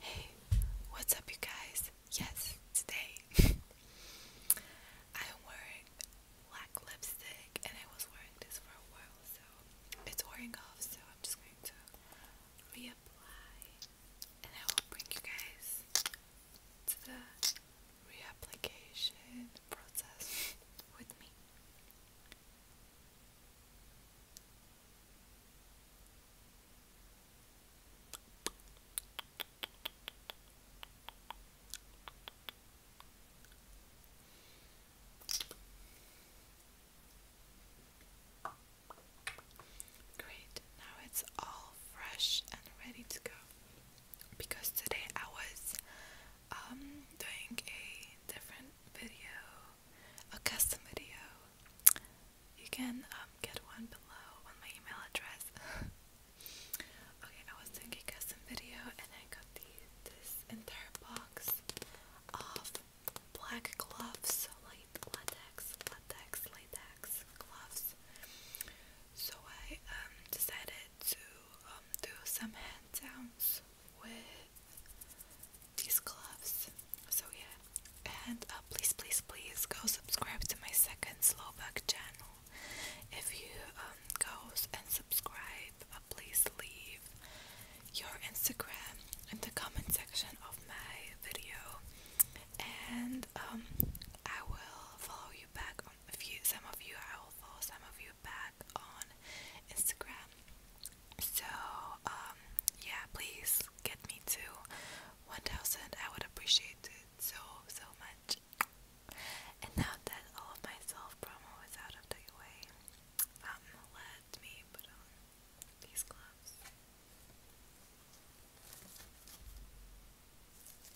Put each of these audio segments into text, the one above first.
Hey, what's up, you guys? Yes, today I'm wearing black lipstick, and I was wearing this for a while, so it's wearing off. So I'm just going to reapply, and I will bring you guys to the reapplication process with me. Great, now it's all fresh and ready to go. Because today I was um, doing a different video a custom video, you can um, get one below on my email address. okay, I was doing a custom video and I got this entire box of black gloves, light latex, latex, latex gloves. So I um, decided to um, do some hand downs with these gloves. So yeah, and uh, please, please, please go subscribe to my second Slovak channel. If you um, go and subscribe, uh, please leave your Instagram in the comment section of my video, and um, I will follow you back on a few. Some of you I will follow some of you back on Instagram. So, um, yeah, please get me to 1000. I would appreciate it so, so much. And now that all of my self promo is out of the way, um, let me put on these gloves.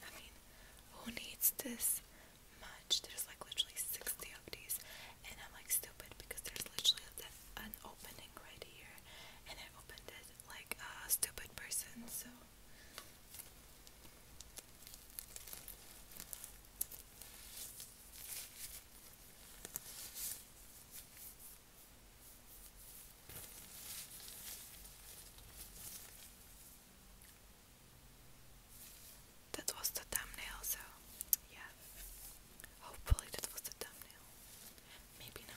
I mean, who needs this much. There's like literally 60 of and I'm like stupid because there's literally an opening right here, and I opened it like a stupid person, so. That was the thumbnail, so yeah. Hopefully, that was the thumbnail. Maybe not.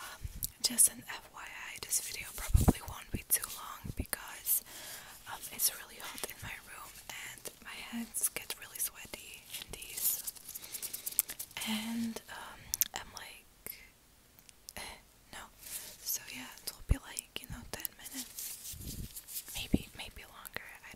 Um, just an FYI, this video probably won't be too long because um, it's really hot in my room and my hands get really sweaty in these. And um, I'm like, eh, no. So yeah, it will be like, you know, 10 minutes. Maybe, maybe longer. I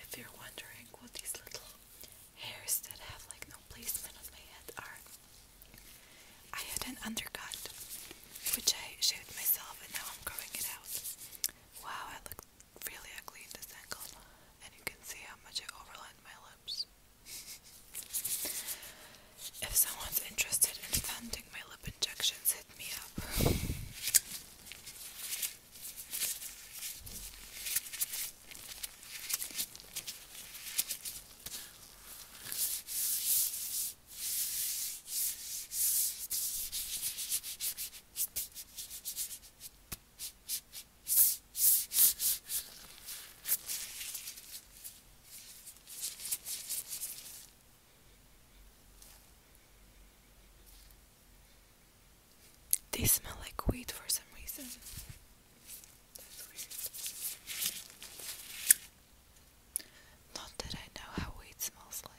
If you're wondering what these little hairs that have like no placement on my head are, I had an undercut which I shaved myself and now I'm growing it out. Wow, I look really ugly in this angle, and you can see how much I overlined my lips. if someone's interested in funding my lip injections, hit me up. They smell like wheat for some reason. That's weird. Not that I know how wheat smells like.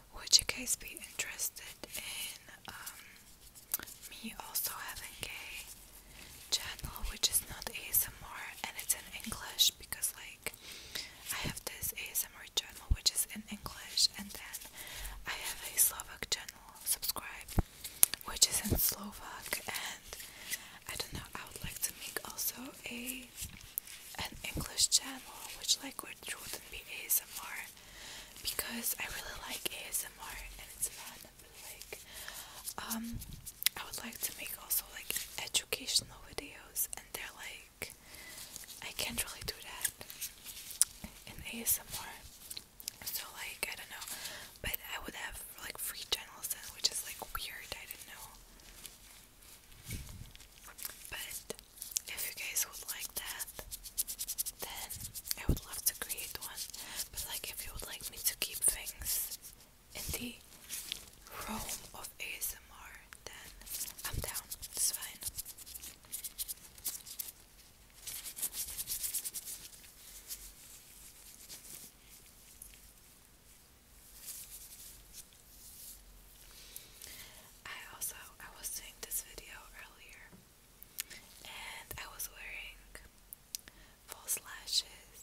Would you guys be interested in um, me also having a channel which is not ASMR and it's in English because like I have this ASMR channel which is in English and then I have a Slovak channel subscribe which is in Slovak and I don't know I would like to make also a an English channel, which like which wouldn't be ASMR because I really like ASMR and it's fun. like, um, I would like to make also like educational videos, and they're like, I can't really do that in ASMR. So like, I don't know, but I would have like free channels then, which is like weird. I did not know. But if you guys would like that, then I would love to create one. But like, if you would like me to keep things in the realm of ASMR, then I'm down. It's fine. I also I was doing this video earlier and I was wearing false lashes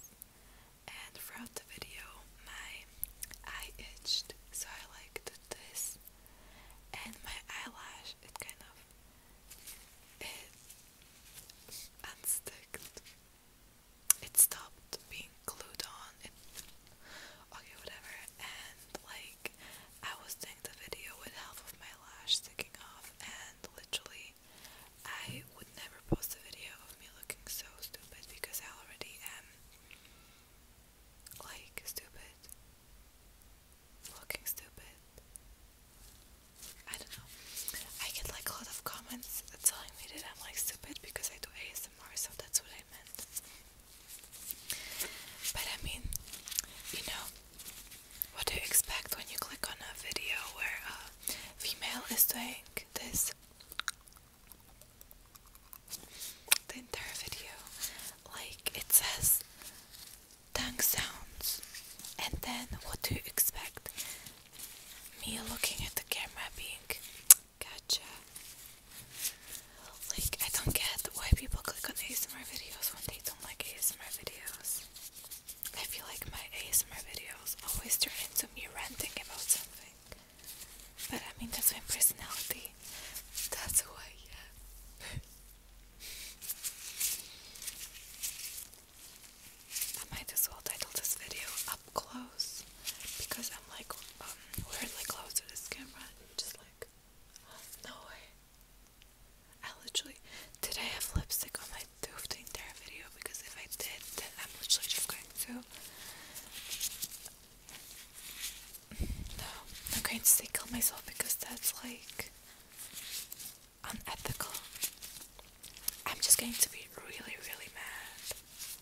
and throughout the video my eye itched so I like this and my eyelash it kind of it unsticked it stopped being glued on okay, whatever. And like, I was doing the video with help of my lash sticking off, and literally, I would never post a video of me looking so stupid because I already am like stupid, looking stupid. I don't know. I get like a lot of comments telling me that I'm like stupid because I do ASMR so that's what I meant. But I mean, you know, what do you expect when you click on a video where a female is doing this? The entire video, like it says tongue sounds, and then what do you expect? Me looking at the camera being Gotcha. Like, I don't get why people click on ASMR videos when they don't like ASMR videos. I feel like my ASMR videos always turn into me ranting about something. But I mean, that's my personality. That's who I am. I might as well title this video close because I'm like um, weirdly close to this camera. Just like, no way. I literally did I have lipstick on my tooth the entire video? Because if I did, then I'm literally just going to. No, I'm going to say kill myself because that's like unethical. I'm just going to be really, really mad.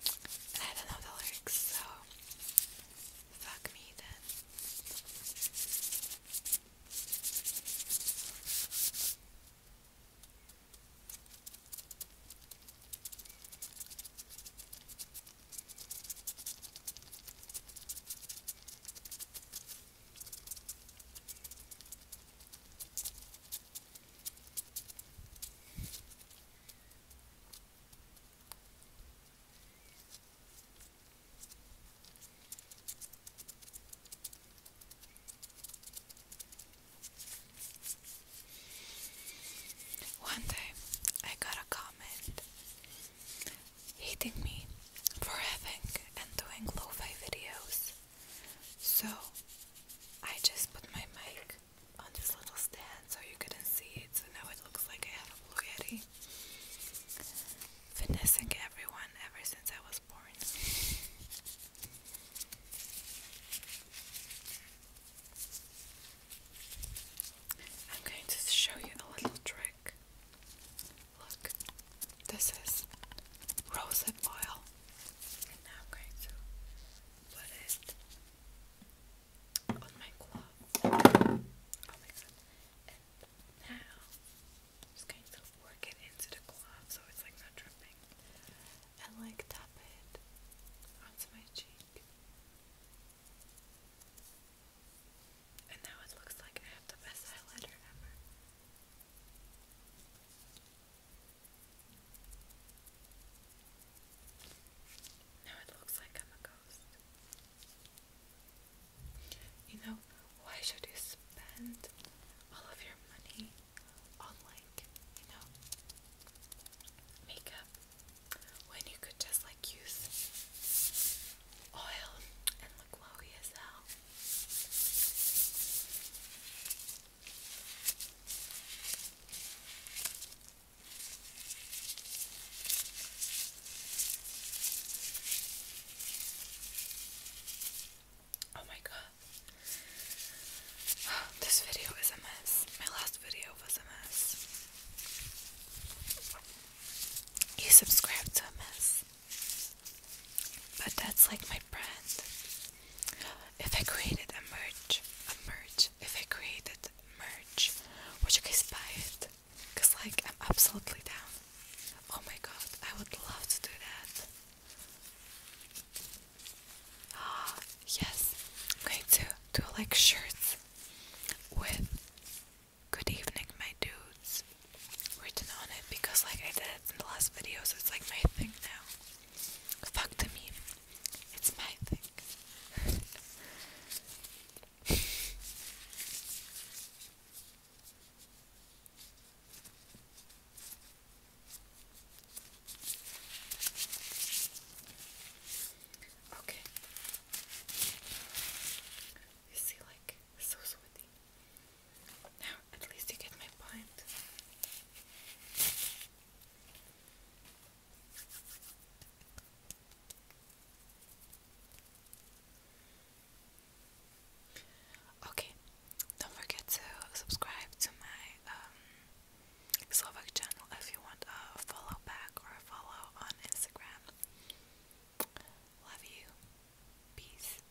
And I don't know the lyrics, so fuck me then. One day I got a comment hating me for having and doing lo fi videos. So I just put my mic on this little stand so you couldn't see it. So now it looks like I had a Blue Yeti. Finessing everyone ever since I was born. I'm going to show you a little trick. Look, this is rosehip oil, now I'm going to put it on my glove. Oh my god. And now I'm just going to work it into the glove so it's like not dripping. And like tap it onto my cheek. And now it looks like I have the best highlighter ever. Now it looks like I'm a ghost. You know, why should you spend all of your money on, like, you know, makeup when you could just, like, use oil and look glowy as hell? Oh my god. This video is a mess. My last video was a mess. You subscribe to a mess. But that's like my brand. If I created a merch, a merch, if I created merch, would you guys buy it? Cause like I'm absolutely down. Oh my god, I would love to do that. Ah, yes. I'm going to do like shirts with good evening my dudes written on it because like I did in the last video so it's like my thing now. Fuck the meme. It's my thing. okay. You see, like, so sweaty. Now, at least you get my point. Okay, don't forget to subscribe to my um, Slovak channel if you want a follow back or a follow on Instagram. Love you. Peace.